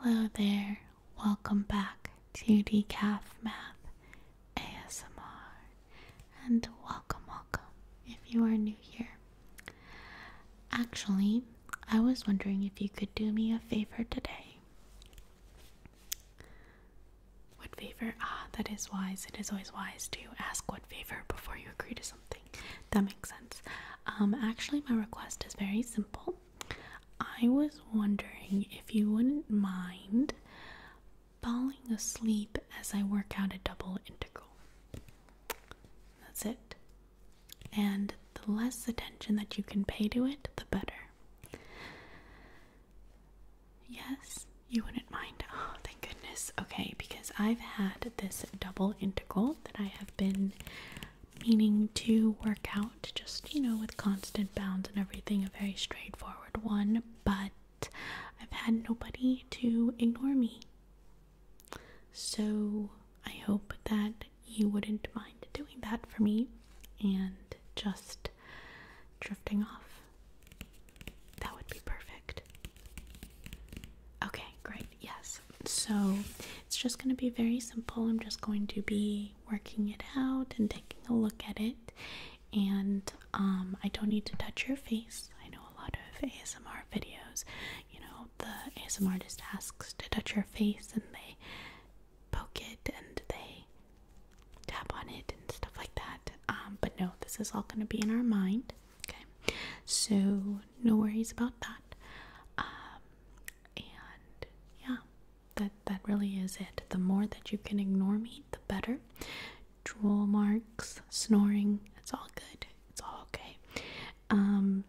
Hello there, welcome back to Decaf Math ASMR, and welcome, welcome if you are new here. Actually, I was wondering if you could do me a favor today. What favor? Ah, that is wise. It is always wise to ask what favor before you agree to something. That makes sense. Um, actually, my request is very simple. I was wondering if you wouldn't mind falling asleep as I work out a double integral. That's it. And the less attention that you can pay to it, the better. Yes, you wouldn't mind. Oh, thank goodness. Okay, because I've had this double integral that I have been meaning to work out just you know with constant bounds and everything a very straightforward one but i've had nobody to ignore me so i hope that you wouldn't mind doing that for me and just drifting off that would be perfect okay great yes so it's just going to be very simple. I'm just going to be working it out and taking a look at it. And um, I don't need to touch your face. I know a lot of ASMR videos, you know, the ASMR artist asks to touch your face and they poke it and they tap on it and stuff like that. Um, but no, this is all going to be in our mind. Okay, so no worries about that. Um, and yeah that that really is it the more that you can ignore me the better drool marks snoring it's all good it's all okay um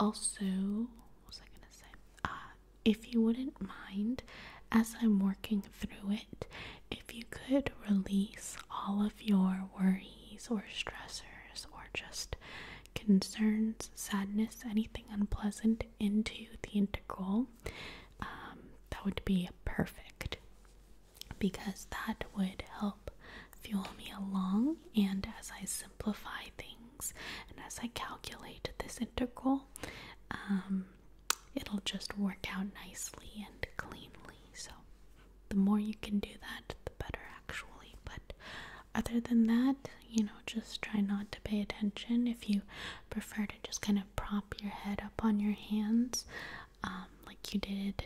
also what was i gonna say uh if you wouldn't mind as i'm working through it if you could release all of your worries or stressors or just concerns, sadness, anything unpleasant into the integral, um, that would be perfect because that would help fuel me along. And as I simplify things and as I calculate this integral, um, it'll just work out nicely and cleanly. So, the more you can do that, the better actually. But other than that, you know, just try not to pay attention. If you prefer to just kind of prop your head up on your hands, um, like you did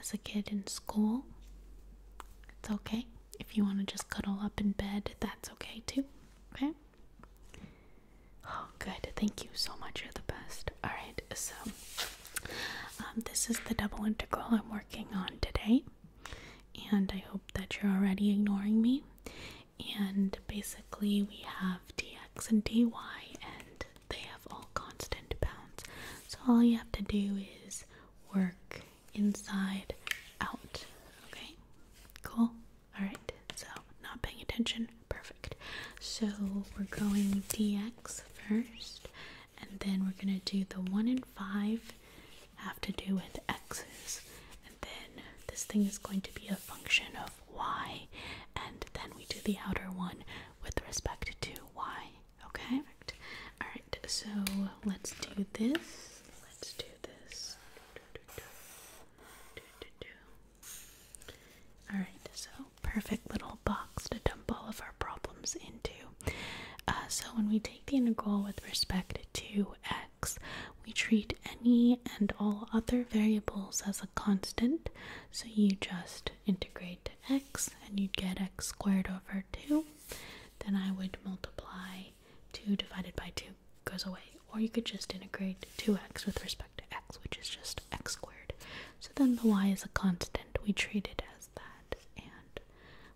as a kid in school, it's okay. If you want to just cuddle up in bed, that's okay too. Okay? Oh, good. Thank you so much. You're the best. All right, so um, this is the double integral I'm working on today and I hope that you're already ignoring me. And basically, we have dx and dy, and they have all constant bounds. So, all you have to do is work inside out. Okay, cool. All right, so not paying attention, perfect. So, we're going dx first, and then we're gonna do the one and five have to do with x's, and then this thing is going to be a function of y, and then we do the outer one with respect to y. Okay. Perfect. All right. So let's do this. Let's do this. Alright, so perfect little box to dump all of our problems into. Uh, so when we take the integral with respect to x. We treat any and all other variables as a constant, so you just integrate x and you get x squared over 2. Then I would multiply 2 divided by 2 goes away, or you could just integrate 2x with respect to x, which is just x squared. So then the y is a constant, we treat it as that, and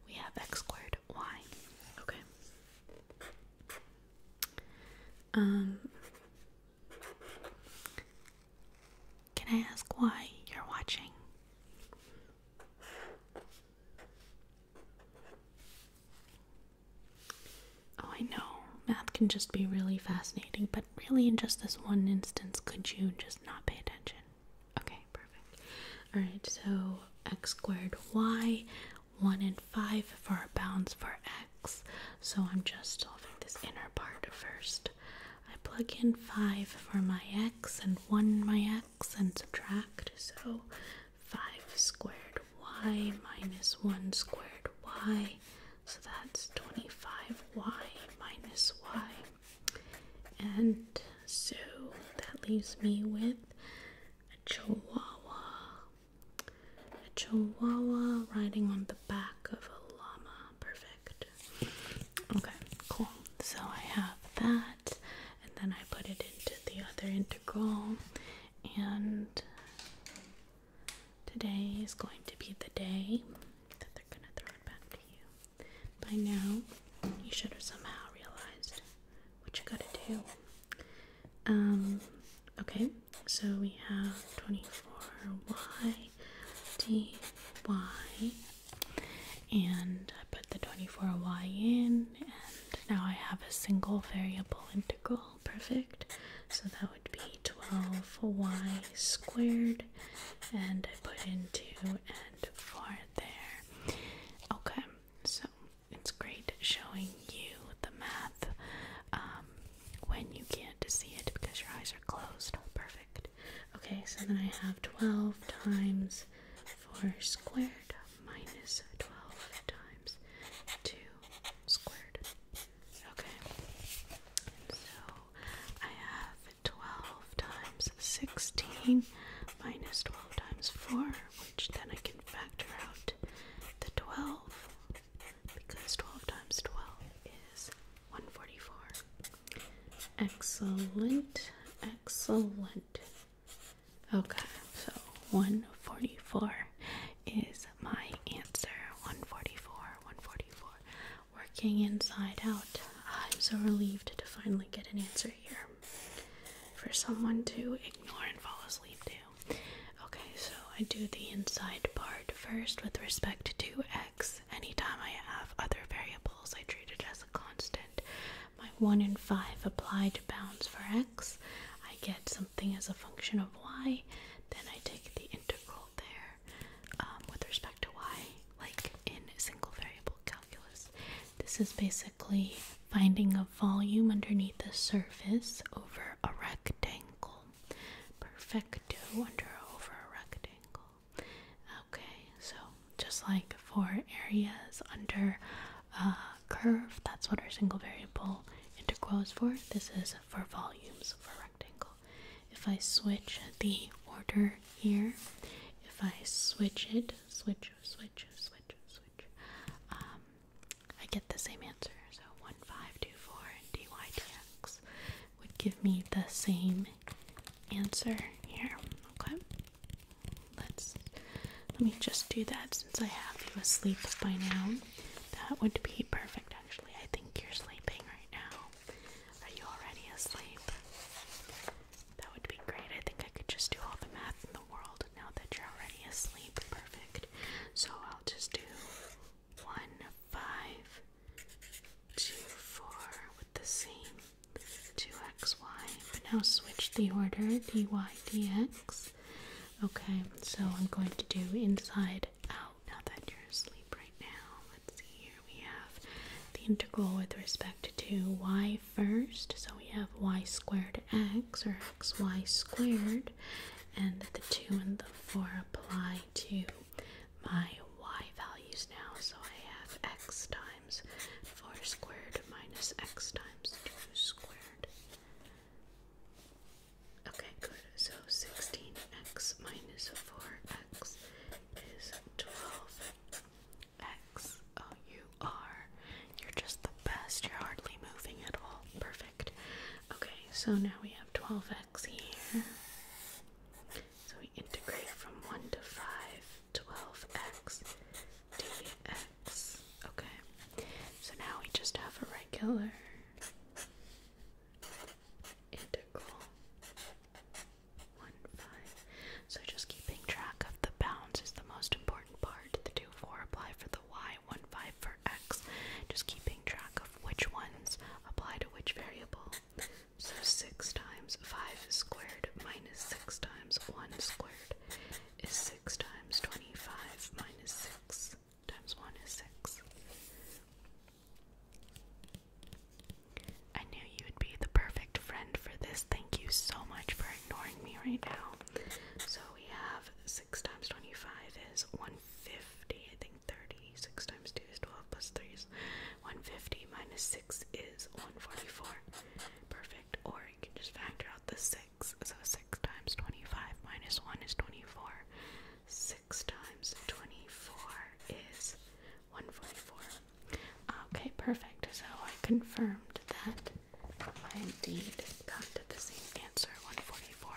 we have x squared y. Okay. Um, can I ask why you're watching? Oh, I know. Math can just be really fascinating, but really in just this one instance could you just not pay attention? Okay, perfect. Alright, so x squared y, 1 and 5 for our bounds for x. So I'm just solving this inner part first. I plug in 5 for my x and 1 my x and subtract. So 5 squared y minus 1 squared y. So that's 25y minus y and so that leaves me with a chihuahua. A chihuahua riding on the back of a llama. Perfect. Okay, cool. So I have that, and then I put it into the other integral. And today is going to be the day that they're going to throw it back to you. By now, you should have somehow realized what you gotta do. Um, okay, so we have 24y dy, and I put the 24y in, and now I have a single variable integral, perfect. So that would be 12y squared, and I put in 2 and 4 there. Okay, so it's great showing you the math um, when you can't see it because your eyes are closed. Perfect. Okay, so then I have 12 times 4 squared minus 12 times 2 squared. Okay, so I have 12 12 times 16 minus 12 times 4, which then I can factor out the 12 because 12 times 12 is 144. Excellent, excellent. Okay, so 144 is my answer. 144, 144. Working inside out. I'm so relieved to finally get an answer here for someone to ignore and fall asleep to. Okay, so I do the inside part first with respect to x. Anytime I have other variables, I treat it as a constant. My 1 and 5 apply to bounds for x. I get something as a function of y. Then I take the integral there um, with respect to y, like in single variable calculus. This is basically finding a volume underneath the surface over a rectangle. Perfecto under over a rectangle. Okay, so just like for areas under a curve, that's what our single variable integral is for. This is for volumes a rectangle. If I switch the order here, if I switch it switch, switch, switch, switch. Um, I get the same answer. So 1524 and dytx would give me the same answer here. Okay. Let's let me just do that since I have you asleep by now. That would be perfect actually. I think you're sleeping right now. Are you already asleep? That would be great. I think I could just do all the math in the world now that you're already asleep. Perfect. So I'll just do one, five, two, four with the same two x, y. But now switch the order dy, dx. Okay, so I'm going to do inside out now that you're asleep right now. Let's see here we have the integral with respect to y first. So we have y squared x or xy squared, and the 2 and the 4 apply to my y values now. So I have x times 4 squared minus x times 2 squared. Okay, good. So 16x minus 4x is 12. X O U R. You're just the best. You're hardly moving at all. Perfect. Okay, so now we have 12x here. So we integrate from 1 to 5, 12x dx. Okay, so now we just have a regular integral one, five. So just keeping track of the bounds is the most important part. The two, four apply for the y, one, five for x. Just keeping track of which ones apply to which variable. So six times five squared minus six times one squared is six times twenty-five minus six times one is six. I knew you would be the perfect friend for this. Thank you so much for ignoring me right now. So we have 6 times 25 is 150, I think 30. 6 times 2 is 12, plus 3 is 150, minus 6 is 144. Perfect. Or you can just factor out the 6. So 6 times 25 minus 1 is 24. 6 times 24 is 144. Okay, perfect. So I confirmed that I indeed got the same answer, 144,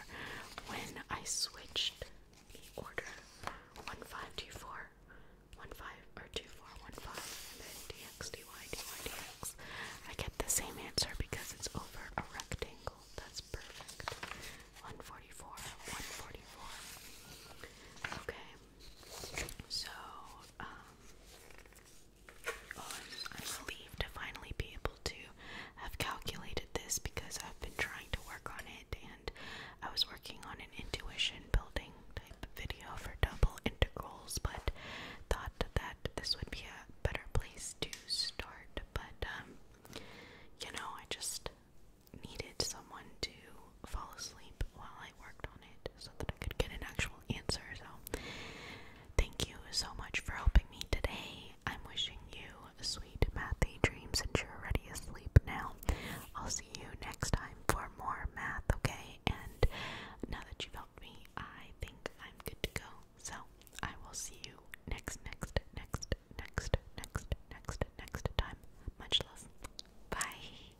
when I switched the order 1524, 15 or 2415, and then dxdy, dydx. I get the same answer because it's over a rectangle. That's perfect. 144, 144. Okay. So, um, well, oh, I'm, I'm relieved to finally be able to have calculated this because I've been trying to work on it, and I was working on an intuition building type video for double integrals, but thought that this would be a better place to start. But, um, you know, I just needed someone to fall asleep while I worked on it so that I could get an actual answer. So, thank you so much for helping me today. I'm wishing you sweet mathy dreams and you're already asleep now. I'll see you next time for more math, okay? And now that you've helped me, I think I'm good to go. So, I will see you next, next, next, next, next, next, next time. Much love. Bye.